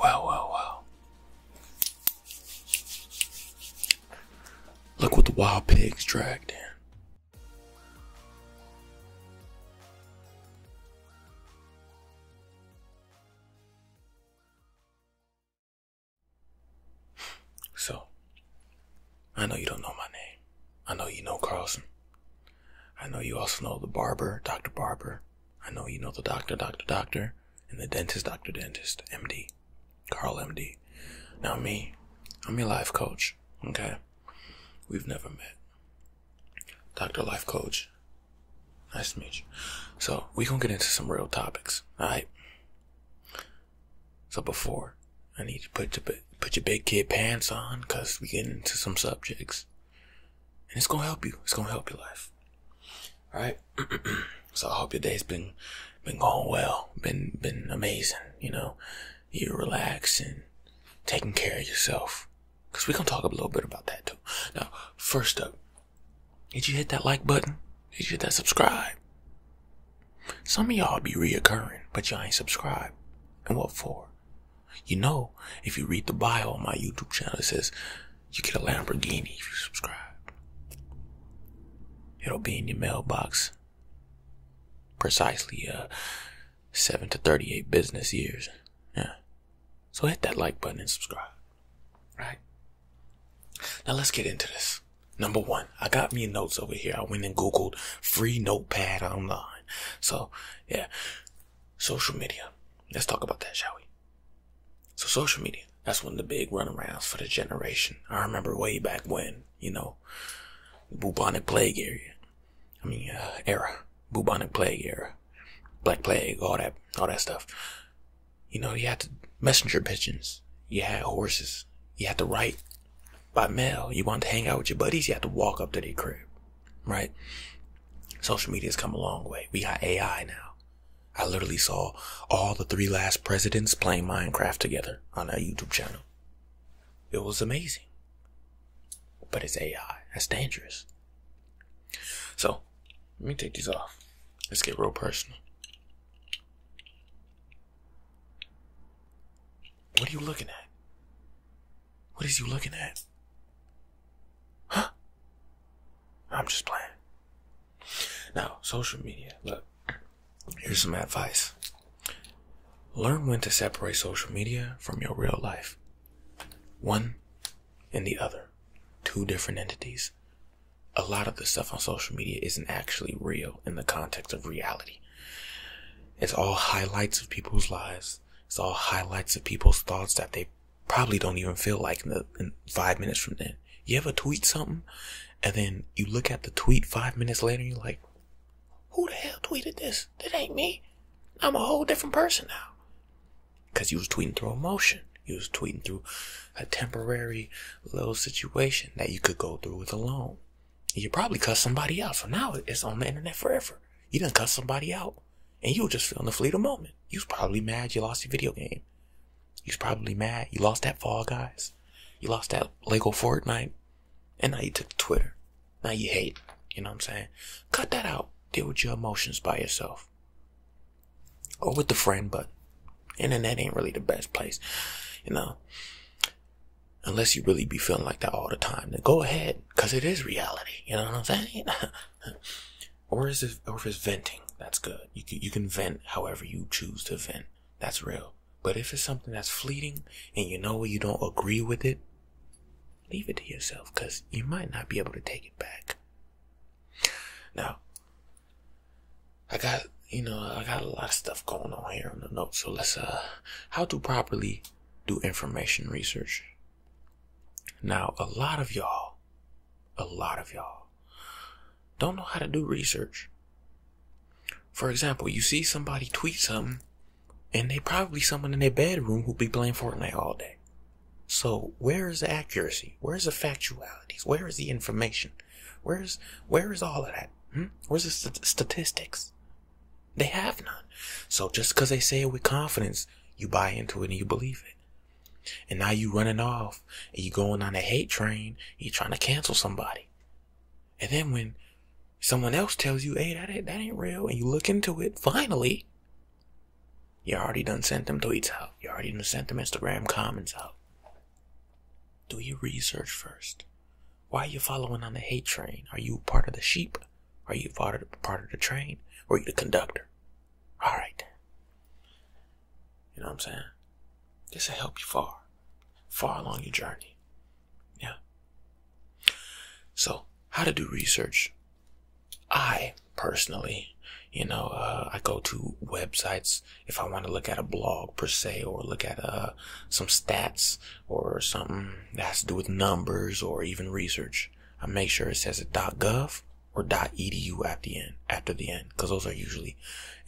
wow, wow, wow. Look what the wild pigs dragged in. So, I know you don't know my name. I know you know Carlson. I know you also know the barber, Dr. Barber. I know you know the doctor, Dr. Doctor, and the dentist, Dr. Dentist, MD, Carl MD. Now, me, I'm your life coach, okay? We've never met. Dr. Life Coach. Nice to meet you. So, we gonna get into some real topics, alright? So before, I need you to put your big kid pants on, cause we get into some subjects, and it's gonna help you. It's gonna help your life. All right. so I hope your day's been been going well, been been amazing. You know, you're relaxing, taking care of yourself, cause we're gonna talk a little bit about that too. Now, first up, did you hit that like button? Did you hit that subscribe? Some of y'all be reoccurring, but y'all ain't subscribed. And what for? You know, if you read the bio on my YouTube channel, it says you get a Lamborghini if you subscribe. It'll be in your mailbox precisely uh, 7 to 38 business years. Yeah. So hit that like button and subscribe. Right? Now let's get into this. Number one. I got me notes over here. I went and Googled free notepad online. So yeah, social media. Let's talk about that, shall we? So social media, that's one of the big runarounds for the generation. I remember way back when, you know, bubonic plague era. I mean, uh, era, bubonic plague era, black plague, all that, all that stuff. You know, you had to messenger pigeons. You had horses. You had to write by mail, you want to hang out with your buddies, you have to walk up to their crib, right? Social media's come a long way. We got AI now. I literally saw all the three last presidents playing Minecraft together on a YouTube channel. It was amazing. But it's AI. That's dangerous. So, let me take these off. Let's get real personal. What are you looking at? What is you looking at? Huh? I'm just playing. Now, social media. Look, here's some advice. Learn when to separate social media from your real life. One and the other. Two different entities. A lot of the stuff on social media isn't actually real in the context of reality. It's all highlights of people's lives. It's all highlights of people's thoughts that they probably don't even feel like in, five minutes from then. You ever tweet something and then you look at the tweet five minutes later and you're like, who the hell tweeted this? That ain't me. I'm a whole different person now. Because you was tweeting through emotion. You was tweeting through a temporary little situation that you could go through with alone. You probably cuss somebody out. So now it's on the internet forever. You didn't cuss somebody out. And you were just feeling the fleeting moment. You was probably mad you lost your video game. You was probably mad you lost that Fall Guys. You lost that Lego Fortnite. And now you took to Twitter. Now you hate. You know what I'm saying? Cut that out. Deal with your emotions by yourself. Or with the friend, but internet ain't really the best place. You know? unless you really be feeling like that all the time, then go ahead, cause it is reality. You know what I'm saying? or if it's venting, that's good. You can, you can vent however you choose to vent. That's real. But if it's something that's fleeting and you know you don't agree with it, leave it to yourself, cause you might not be able to take it back. Now, I got, you know, I got a lot of stuff going on here on the note. So let's, uh, how to properly do information research. Now, a lot of y'all, a lot of y'all don't know how to do research. For example, you see somebody tweet something and they probably someone in their bedroom who be playing Fortnite all day. So where is the accuracy? Where is the factualities? Where is the information? Where's where's all of that? Hmm? Where's the statistics? They have none. So just 'cause they say it with confidence, you buy into it and you believe it. And now you running off and you going on a hate train. you trying to cancel somebody. And then when someone else tells you, hey, that ain't real, and you look into it, finally, you already done sent them tweets out. You already done sent them Instagram comments out. Do your research first. Why are you following on the hay train? Are you part of the sheep? Are you part of the, train? Or are you the conductor? All right. You know what I'm saying? This will help you far, far along your journey. Yeah. So, how to do research? I personally, you know, uh, I go to websites if I want to look at a blog per se, or look at uh, some stats or something that has to do with numbers or even research, I make sure it says it .gov or .edu at the end, after the end, because those are usually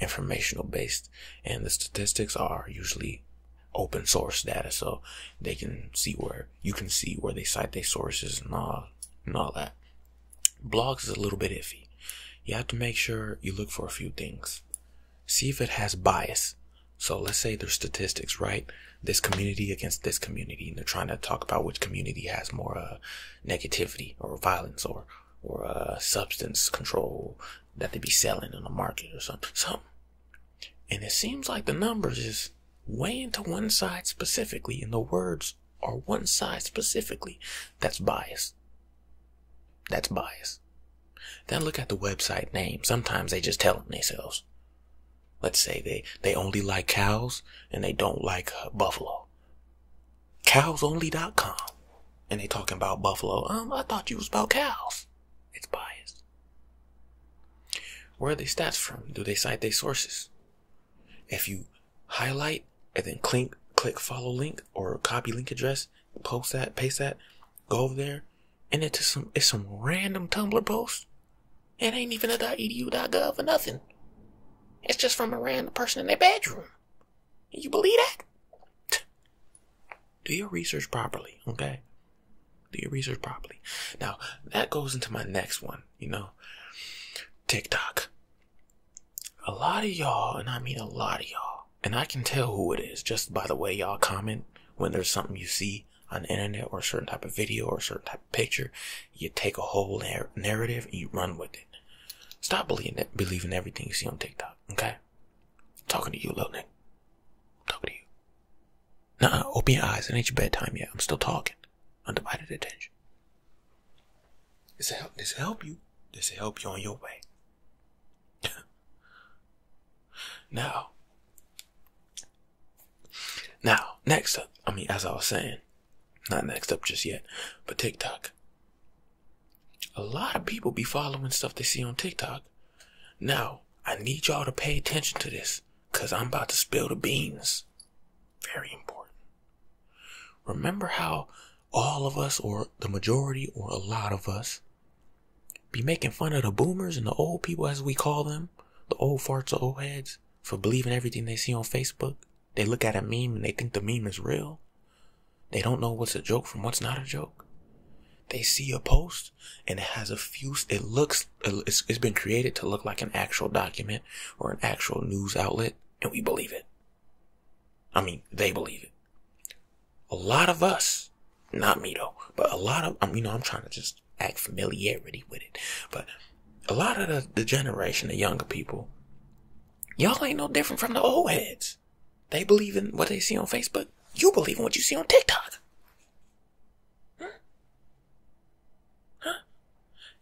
informational based, and the statistics are usually open source data, so they can see where you can see where they cite their sources and all and all that. Blogs is a little bit iffy. You have to make sure you look for a few things see if it has bias. So let's say there's statistics, right? This community against this community, and they're trying to talk about which community has more uh, negativity or violence or or uh, substance control that they be selling in the market or something. Something. And it seems like the numbers is weighing to one side specifically, and the words are one side specifically. That's bias. That's bias. Then look at the website name. Sometimes they just tell them themselves. Let's say they, they only like cows and they don't like uh, buffalo. Cowsonly.com. And they talking about buffalo. Um, I thought you was about cows. It's biased. Where are they stats from? Do they cite their sources? If you highlight and then click, click follow link or copy link address, post that, paste that, go over there, and it's some it's some random Tumblr post. It ain't even a .edu.gov for nothing. It's just from a random person in their bedroom. You believe that? Do your research properly, okay? Do your research properly. Now that goes into my next one. You know, TikTok a lot of y'all, and I mean a lot of y'all, and I can tell who it is just by the way y'all comment when there's something you see on the internet or a certain type of video or a certain type of picture. You take a whole narrative and you run with it. Stop believing that, believing everything you see on TikTok, okay? I'm talking to you, little nigga. I'm talking to you. Nah, open your eyes. It ain't your bedtime yet. I'm still talking. Undivided attention. This help. This will help you. This will help you on your way. now, now, next up, I mean, as I was saying, not next up just yet, but TikTok. A lot of people be following stuff they see on TikTok. Now, I need y'all to pay attention to this because I'm about to spill the beans. Very important. Remember how all of us, or the majority, or a lot of us, be making fun of the boomers and the old people, as we call them, the old farts, or old heads, for believing everything they see on Facebook. They look at a meme and they think the meme is real. They don't know what's a joke from what's not a joke. They see a post and it has a few, it looks, it's been created to look like an actual document or an actual news outlet, and we believe it. I mean, they believe it. A lot of us, not me though, but a lot of, you know, I'm trying to just act familiarity with it, but a lot of the, the generation, the younger people, y'all ain't no different from the old heads. They believe in what they see on Facebook. You believe in what you see on TikTok. Huh?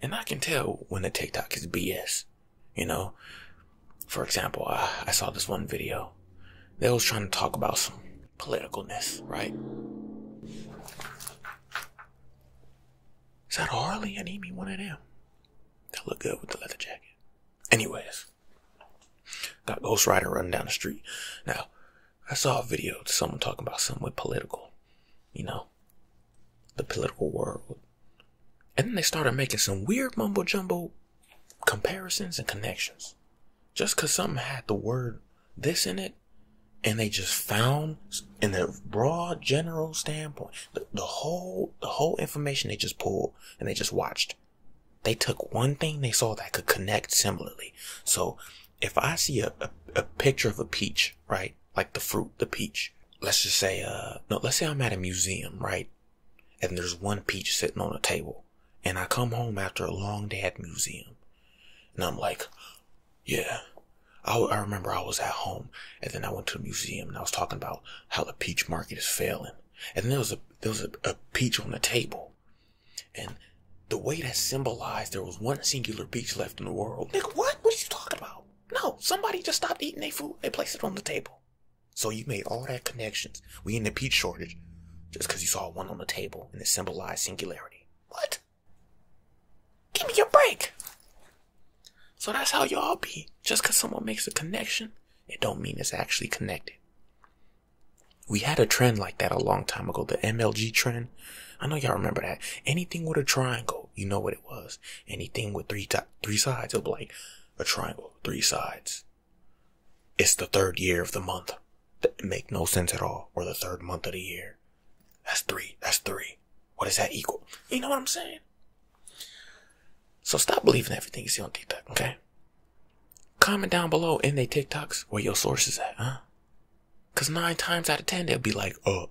And I can tell when the TikTok is BS you know, for example, I saw this one video. They was trying to talk about some politicalness, right? Is that Harley? I need me one of them. That look good with the leather jacket. Anyways, got Ghost Rider running down the street. Now, I saw a video of someone talking about something with political. You know, the political world. And then they started making some weird mumbo jumbo comparisons and connections. just 'cause something had the word this in it, and they just found in the broad general standpoint the, the, whole the whole information they just pulled and they just watched they took one thing they saw that could connect similarly so if i see a picture of a peach right like the fruit the peach let's just say, uh, no, let's say I'm at a museum, right? And there's one peach sitting on a table. And I come home after a long day at museum. And I'm like, yeah. I, remember I was at home and then I went to the museum and I was talking about how the peach market is failing. And there was a, there was a, peach on the table. And the way that symbolized there was one singular peach left in the world. Nigga, what? What are you talking about? No, somebody just stopped eating their food and placed it on the table. So you made all that connections. We in the peach shortage just because you saw one on the table and it symbolized singularity. What? Give me a break. So that's how y'all be. Just because someone makes a connection, it don't mean it's actually connected. We had a trend like that a long time ago, the MLG trend. I know y'all remember that. Anything with a triangle, you know what it was. Anything with three three sides. It'll be a triangle, three sides. It's the third year of the month. That make no sense at all. Or the third month of the year. That's three. That's three. What is that equal? You know what I'm saying? So stop believing everything you see on TikTok, okay? Comment down below in their TikToks where your sources is at, huh? Cause nine times out of ten, they'll be like, oh.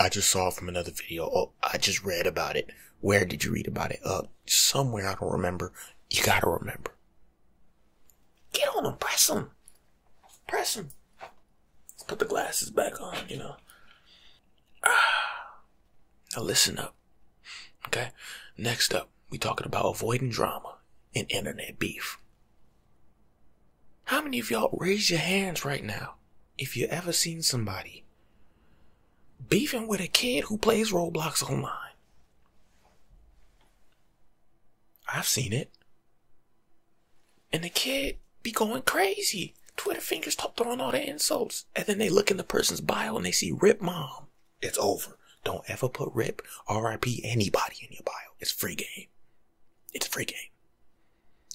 I just saw from another video. Oh, I just read about it. Where did you read about it? Uh, somewhere I don't remember. You gotta remember. Get on them, press them, press them. Put the glasses back on. You know. Ah. Now listen up. Okay. Next up, we talking about avoiding drama and internet beef. How many of y'all raise your hands right now if you ever seen somebody beefing with a kid who plays Roblox online. I've seen it. And the kid be going crazy. Twitter fingers throwing all their insults. And then they look in the person's bio and they see Rip Mom. It's over. Don't ever put Rip, RIP, anybody in your bio. It's free game. It's free game.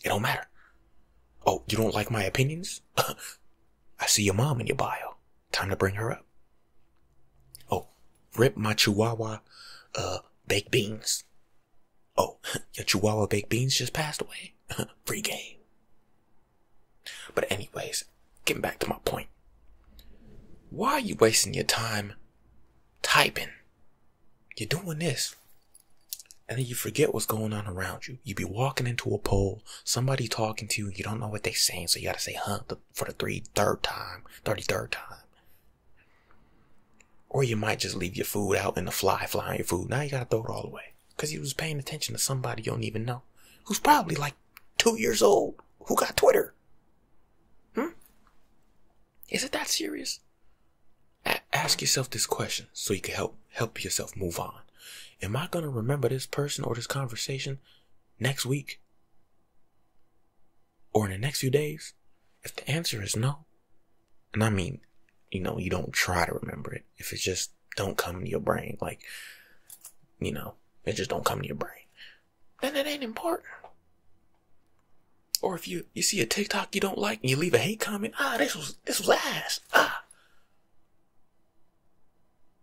It don't matter. Oh, you don't like my opinions? I see your mom in your bio. Time to bring her up. Oh, rip my chihuahua, uh, baked beans. Oh, your chihuahua baked beans just passed away. Free game. But anyways, getting back to my point. Why are you wasting your time typing? You're doing this and then you forget what's going on around you. You be walking into a pole, somebody talking to you, you don't know what they saying, so you gotta say huh for the three third time, thirty third time. Or you might just leave your food out in the fly, flying your food. Now you gotta throw it all away. Cause you was paying attention to somebody you don't even know. Who's probably like two years old, who got Twitter. Hmm? Is it that serious? ask yourself this question so you can help help yourself move on. Am I gonna remember this person or this conversation next week? Or in the next few days? If the answer is no, and I mean, you know, you don't try to remember it. If it just don't come to your brain, like, you know, it just don't come to your brain, then it ain't important. Or if you, you see a TikTok you don't like and you leave a hate comment, ah, this was this last. Ah.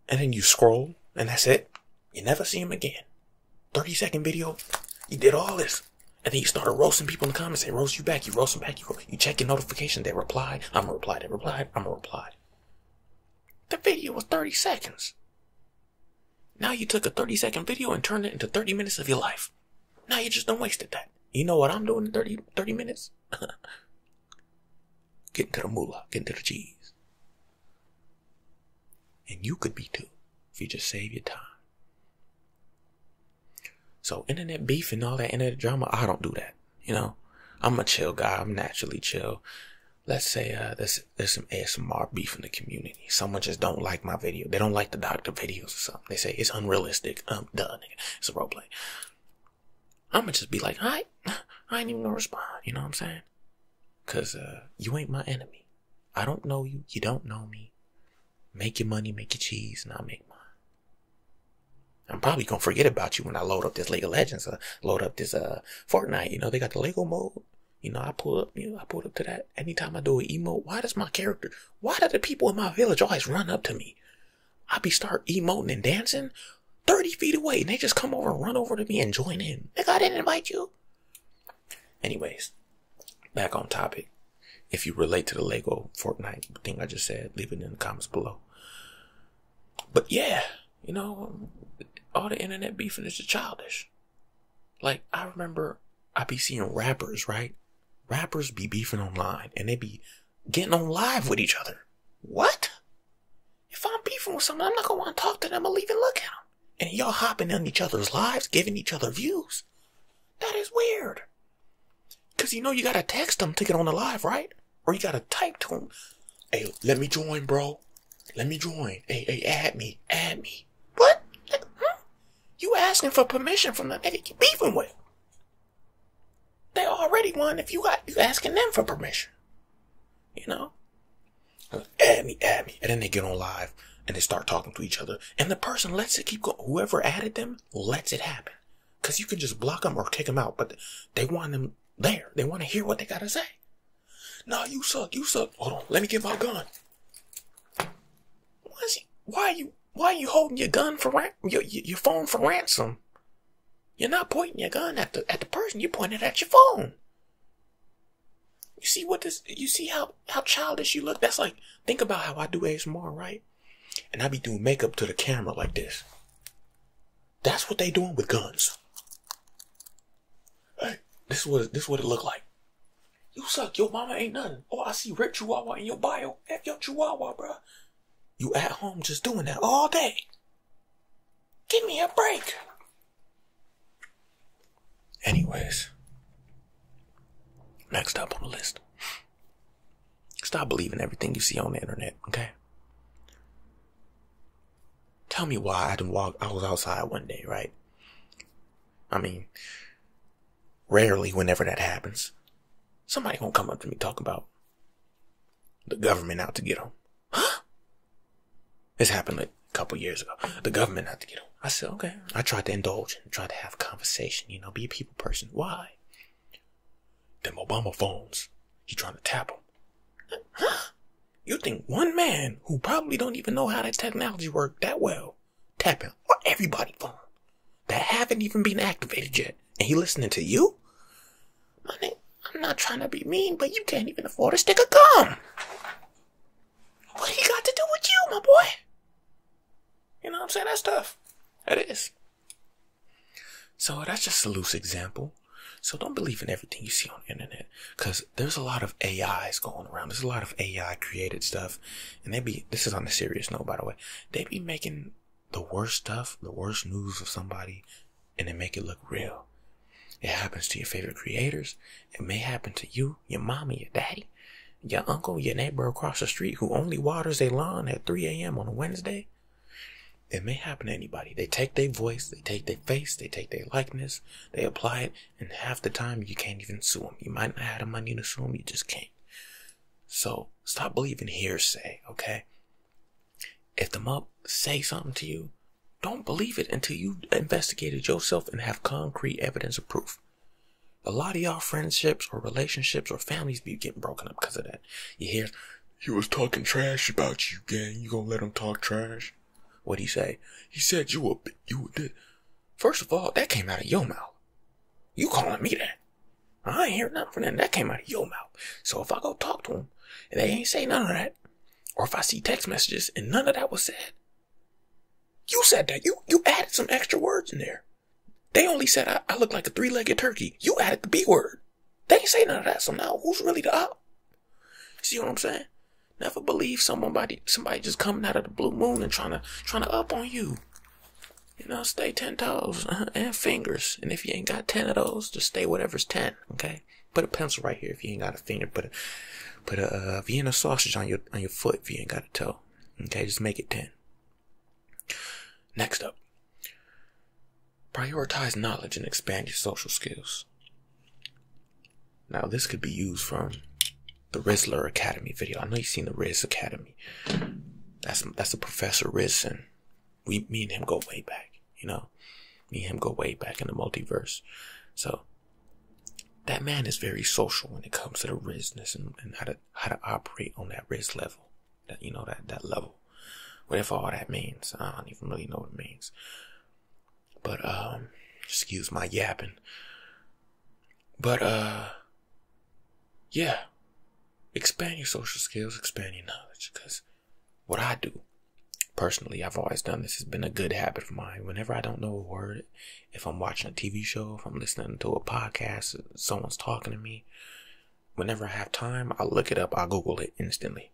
And then you scroll, and that's it. You never see him again. 30 second video. You did all this. And then you started roasting people in the comments. They roast you back. You roast them back. You, ro you check your notification. They reply. I'm going to reply. They reply. I'm going to reply. The video was 30 seconds. Now you took a 30 second video and turned it into 30 minutes of your life. Now you just don't wasted that. You know what I'm doing in 30, minutes? get to the moolah, get to the cheese. And you could be too, if you just save your time. So internet beef and all that internet drama, I don't do that. You know, I'm a chill guy. I'm naturally chill. Let's say uh, there's there's some ASMR beef in the community. Someone just don't like my video. They don't like the doctor videos or something. They say it's unrealistic. I'm um, done. It's a role play. I'm gonna just be like, I, I ain't even gonna respond. You know what I'm saying? Cause uh, you ain't my enemy. I don't know you. You don't know me. Make your money, make your cheese, and I'll make mine. I'm probably gonna forget about you when I load up this Lego Legends, uh, load up this uh, Fortnite. You know they got the Lego mode. You know I pull up. You I pull up to that anytime I do an emo, Why does my character why do the people in my village always run up to me? I be start emoting and dancing 30 feet away and they just come over and run over to me and join in. Nigga, I didn't invite you. Anyways, back on topic. If you relate to the Lego Fortnite thing I just said, leave it in the comments below. But yeah, you know, all the internet beefing is childish. Like, I remember I be seeing rappers, right? rappers be beefing online and they be getting on live with each other. What? If I'm beefing with someone, I'm not gonna want to talk to them or even look at them. And y'all hopping on each other's lives, giving each other views. That is weird. Cause you know you gotta text them to get on the live, right? Or you gotta type to them, "Hey, let me join, bro. Let me join. Hey, hey, add me, add me." What? Hmm? You asking for permission from the niggas you beefing with. They already won if you got you asking them for permission. You know? Add me, add me. And then they get on live and they start talking to each other. And the person lets it keep going. Whoever added them lets it happen. Because you can just block them or kick them out. But they want them there. They want to hear what they got to say. Nah, you suck. You suck. Hold on. Let me get my gun. Why is why are you why you holding your gun for your, your phone for ransom? You're not pointing your gun at the at the person. You're pointing it at your phone. You see what this? You see how how childish you look? That's like think about how I do ASMR, right? And I be doing makeup to the camera like this. That's what they doing with guns. Hey, this is what this what it looked like. You suck. Your mama ain't nothing. Oh, I see red chihuahua in your bio. F your chihuahua, bruh. You at home just doing that all day. Give me a break. Anyways, next up on the list. Stop believing everything you see on the internet, okay? Tell me why I didn't walk. I was outside one day, right? I mean, Rarely, whenever that happens, somebody gonna come up to me talking about the government out to get 'em, Huh? This happened like a couple years ago. The government out to get 'em. I said, okay. I tried to indulge and tried to have a conversation, you know, be a people person. Why? Them Obama phones. He trying to tap 'em, Huh? You think one man who probably don't even know how that technology worked that well tapping on everybody's phone that haven't even been activated yet, and he listening to you? My I'm not trying to be mean, but you can't even afford to stick a gun. What he got to do with you, my boy? You know what I'm saying? That's tough. That is. So that's just a loose example. So don't believe in everything you see on the internet because there's a lot of AIs going around. There's a lot of AI created stuff and they be this is on a serious note by the way they be making the worst stuff the worst news of somebody and they make it look real it happens to your favorite creators it may happen to you your mommy your daddy your uncle your neighbor across the street who only waters their lawn at 3 a.m on a wednesday it may happen to anybody they take their voice they take their face they take their likeness they apply it and half the time you can't even sue them. You might not have the money to sue them, you just can't. So stop believing hearsay, okay? If the mob say something to you, don't believe it until you've investigated yourself and have concrete evidence of proof. A lot of y'all friendships or relationships or families be getting broken up because of that. You hear, he was talking trash about you, gang. You gonna let him talk trash? what he say? He said you were, you did. First of all, that came out of your mouth. You calling me that? I ain't hear nothing from them. That came out of your mouth. So if I go talk to them and they ain't say none of that, or if I see text messages and none of that was said, you said that. You you added some extra words in there. They only said I, look like a three-legged turkey. You added the B word. They ain't say none of that. So now who's really the op? See what I'm saying? Never believe somebody, somebody just coming out of the blue moon and trying to trying to up on you. You know, stay ten toes and fingers. And if you ain't got ten of those, just stay whatever's ten. Okay. Put a pencil right here if you ain't got a finger. Put a put a uh, Vienna sausage on your on your foot if you ain't got a toe. Okay, just make it ten. Next up, prioritize knowledge and expand your social skills. Now this could be used from the Rizzler Academy video. I know you've seen the Riz Academy. That's that's the Professor Riz and we me and him go way back, you know. Me and him go way back in the multiverse. So that man is very social when it comes to the Rizness and, how to how to operate on that Riz level. That you know that that level. Whatever all that means. I don't even really know what it means. But um excuse my yapping. But, uh, yeah, expand your social skills, expand your knowledge. Because what I do personally, I've always done this, has been a good habit of mine. Whenever I don't know a word, if I'm watching a TV show, if I'm listening to a podcast, someone's talking to me, whenever I have time, i look it up, i Google it instantly.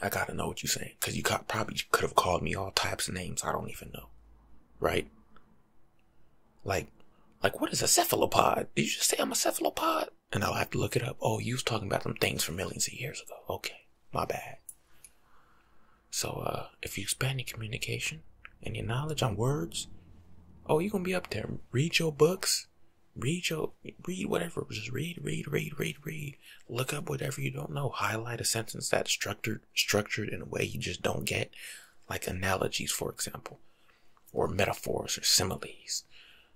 I gotta know what you're saying. Because you probably could have called me all types of names I don't even know right? Like, like what is a cephalopod? Did you just say I'm a cephalopod? And I'll have to look it up. Oh, you was talking about some things from millions of years ago. Okay, my bad. So, uh, if you expand your communication and your knowledge on words, oh, you gonna be up there. Read your books, read your, read whatever. Just read, read, read, read, read. Look up whatever you don't know. Highlight a sentence that's structured structured in a way you just don't get, like analogies, for example, or metaphors or similes,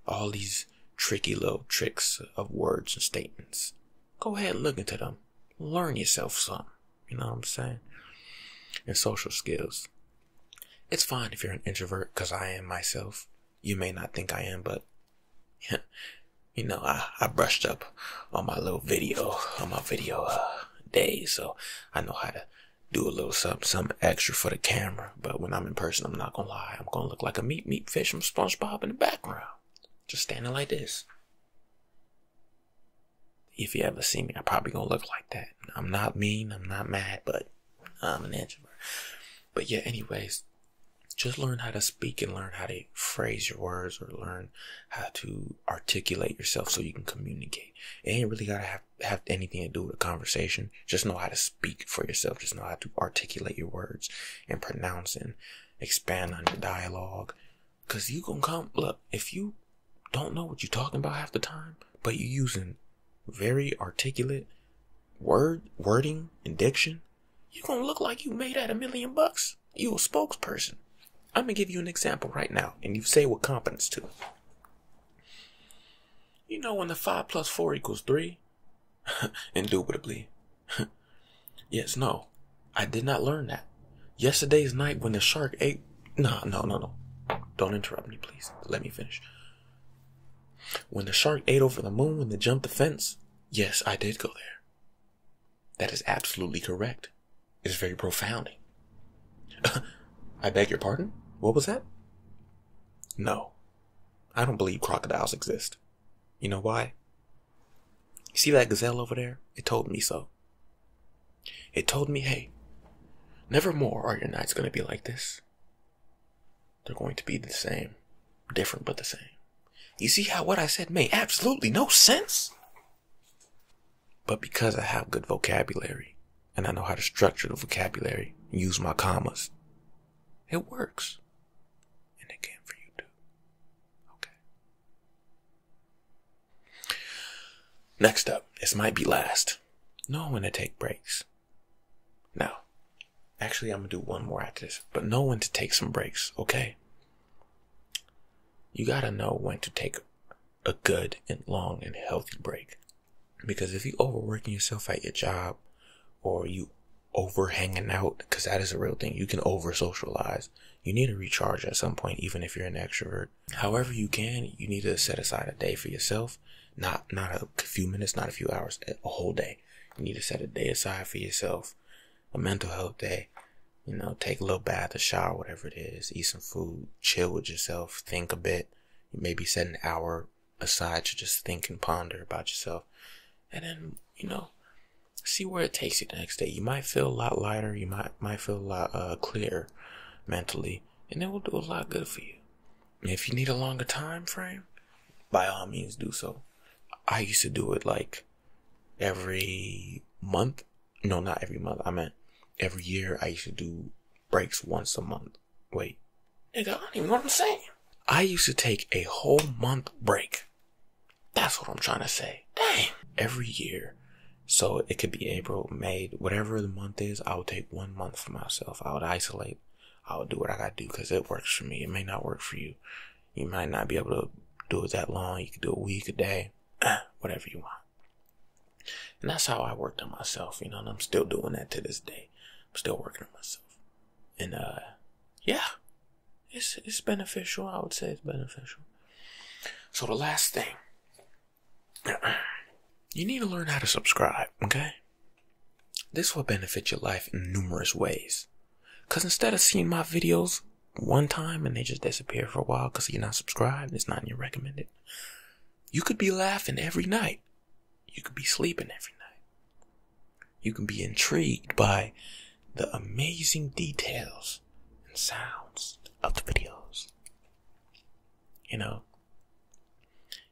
all these tricky little tricks of words and statements. Go ahead, look into them, learn yourself some. You know what I'm saying? And social skills. It's fine if you're an introvert, cause I am myself. You may not think I am, but you know, I, I brushed up on my little video, on my video uh, day, so I know how to do a little something, something extra for the camera. But when I'm in person, I'm not gonna lie, I'm gonna look like a meat meat fish from SpongeBob in the background, just standing like this. If you ever see me, I'm probably gonna look like that. I'm not mean, I'm not mad, but I'm an introvert. But yeah, anyways, just learn how to speak and learn how to phrase your words or learn how to articulate yourself so you can communicate. It ain't really gotta have, have anything to do with a conversation. Just know how to speak for yourself. Just know how to articulate your words and pronounce and expand on your dialogue. Cause you gonna come, look, if you don't know what you're talking about half the time, but you using very articulate word, wording and diction, you gonna look like you made out a million bucks. You a spokesperson. I'm gonna give you an example right now, and you say with competence too. You know when the five plus four equals three? Indubitably. yes, no. I did not learn that. Yesterday's night when the shark ate no, no, no, no. Don't interrupt me, please. Let me finish. When the shark ate over the moon when they jumped the fence, yes, I did go there. That is absolutely correct. It is very profound. I beg your pardon? What was that? No. I don't believe crocodiles exist. You know why? You see that gazelle over there? It told me so. It told me, hey, never more are your nights going to be like this. They're going to be the same. Different, but the same. You see how what I said made absolutely no sense? But because I have good vocabulary and I know how to structure the vocabulary and use my commas, it works. And it can for you too. Okay. Next up, this might be last. Know when to take breaks. Now, actually, I'm going to do one more after this, but know when to take some breaks, okay? you gotta know when to take a good and long and healthy break. Because if you are overworking yourself at your job or you over hanging out, because that is a real thing, you can over socialize. You need to recharge at some point, even if you're an extrovert. However you can, you need to set aside a day for yourself. Not not a few minutes, not a few hours, a whole day. You need to set a day aside for yourself a mental health day. You know, take a little bath, a shower, whatever it is, eat some food, chill with yourself, think a bit. maybe set an hour aside to just think and ponder about yourself. And then, you know, see where it takes you the next day. You might feel a lot lighter, you might might feel a lot uh, clearer mentally, and it will do a lot good for you. if you need a longer time frame, by all means do so. I used to do it like every month. No, not every month. I mean, every year I used to do breaks once a month. Wait, nigga, I don't even know what I'm saying. I used to take a whole month break. That's what I'm trying to say. Dang. Every year. So it could be April, May, whatever the month is, I would take one month for myself. I would isolate. I would do what I gotta do because it works for me. It may not work for you. You might not be able to do it that long. You can do a week, a day, whatever you want. And that's how I worked on myself, you know, I'm still doing that to this day. I'm still working on myself. And uh yeah. It's it's beneficial, I would say it's beneficial. So the last thing you need to learn how to subscribe, okay? This will benefit your life in numerous ways. Because instead of seeing my videos one time and they just disappear for a while because you're not subscribed, it's not in your recommended, you could be laughing every night. You could be sleeping every night. You can be intrigued by the amazing details and sounds of the videos. You know,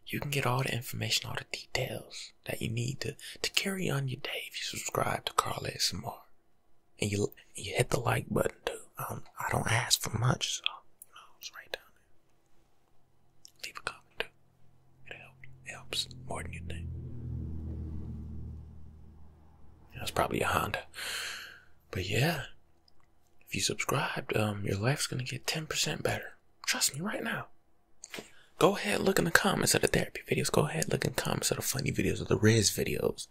you can get all the information, all the details that you need to, to carry on your day if you subscribe to Carl ASMR. And you, you hit the like button too. Um, I don't ask for much, so Leave a comment too. It helps, helps more than you think. That's probably a Honda. But yeah, if you subscribed, um, your life's gonna get 10% better. Trust me right now. Go ahead, look in the comments of the therapy videos. Go ahead, look in the comments of the funny videos or the Riz videos.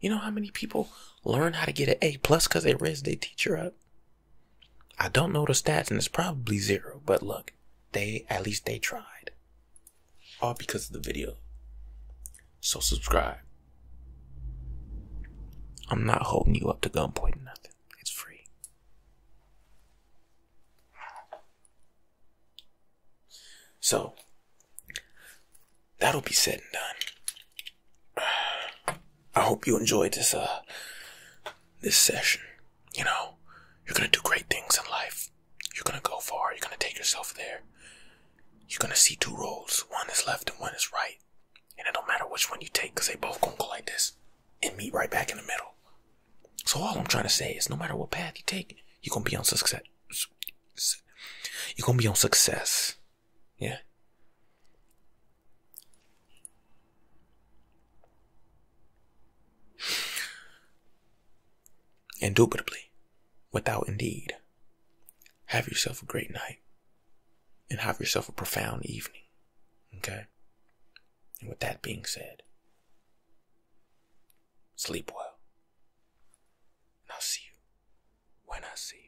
You know how many people learn how to get an A plus because they Riz their teacher up? I don't know the stats, and it's probably zero. But look, they at least they tried. All because of the video. So subscribe. I'm not holding you up to gunpoint or nothing. It's free. So that'll be said and done. I hope you enjoyed this uh this session. You know, you're gonna do great things in life. You're gonna go far, you're gonna take yourself there. You're gonna see two roads, one is left and one is right. And it don't matter which one you take, because they both gonna go like this and meet right back in the middle. So all I'm trying to say is, no matter what path you take, you're gonna be on success. You're gonna be on success. Yeah. Indubitably, without indeed, have yourself a great night and have yourself a profound evening. Okay? And with that being said, Sleep well. And I'll see you when I see you.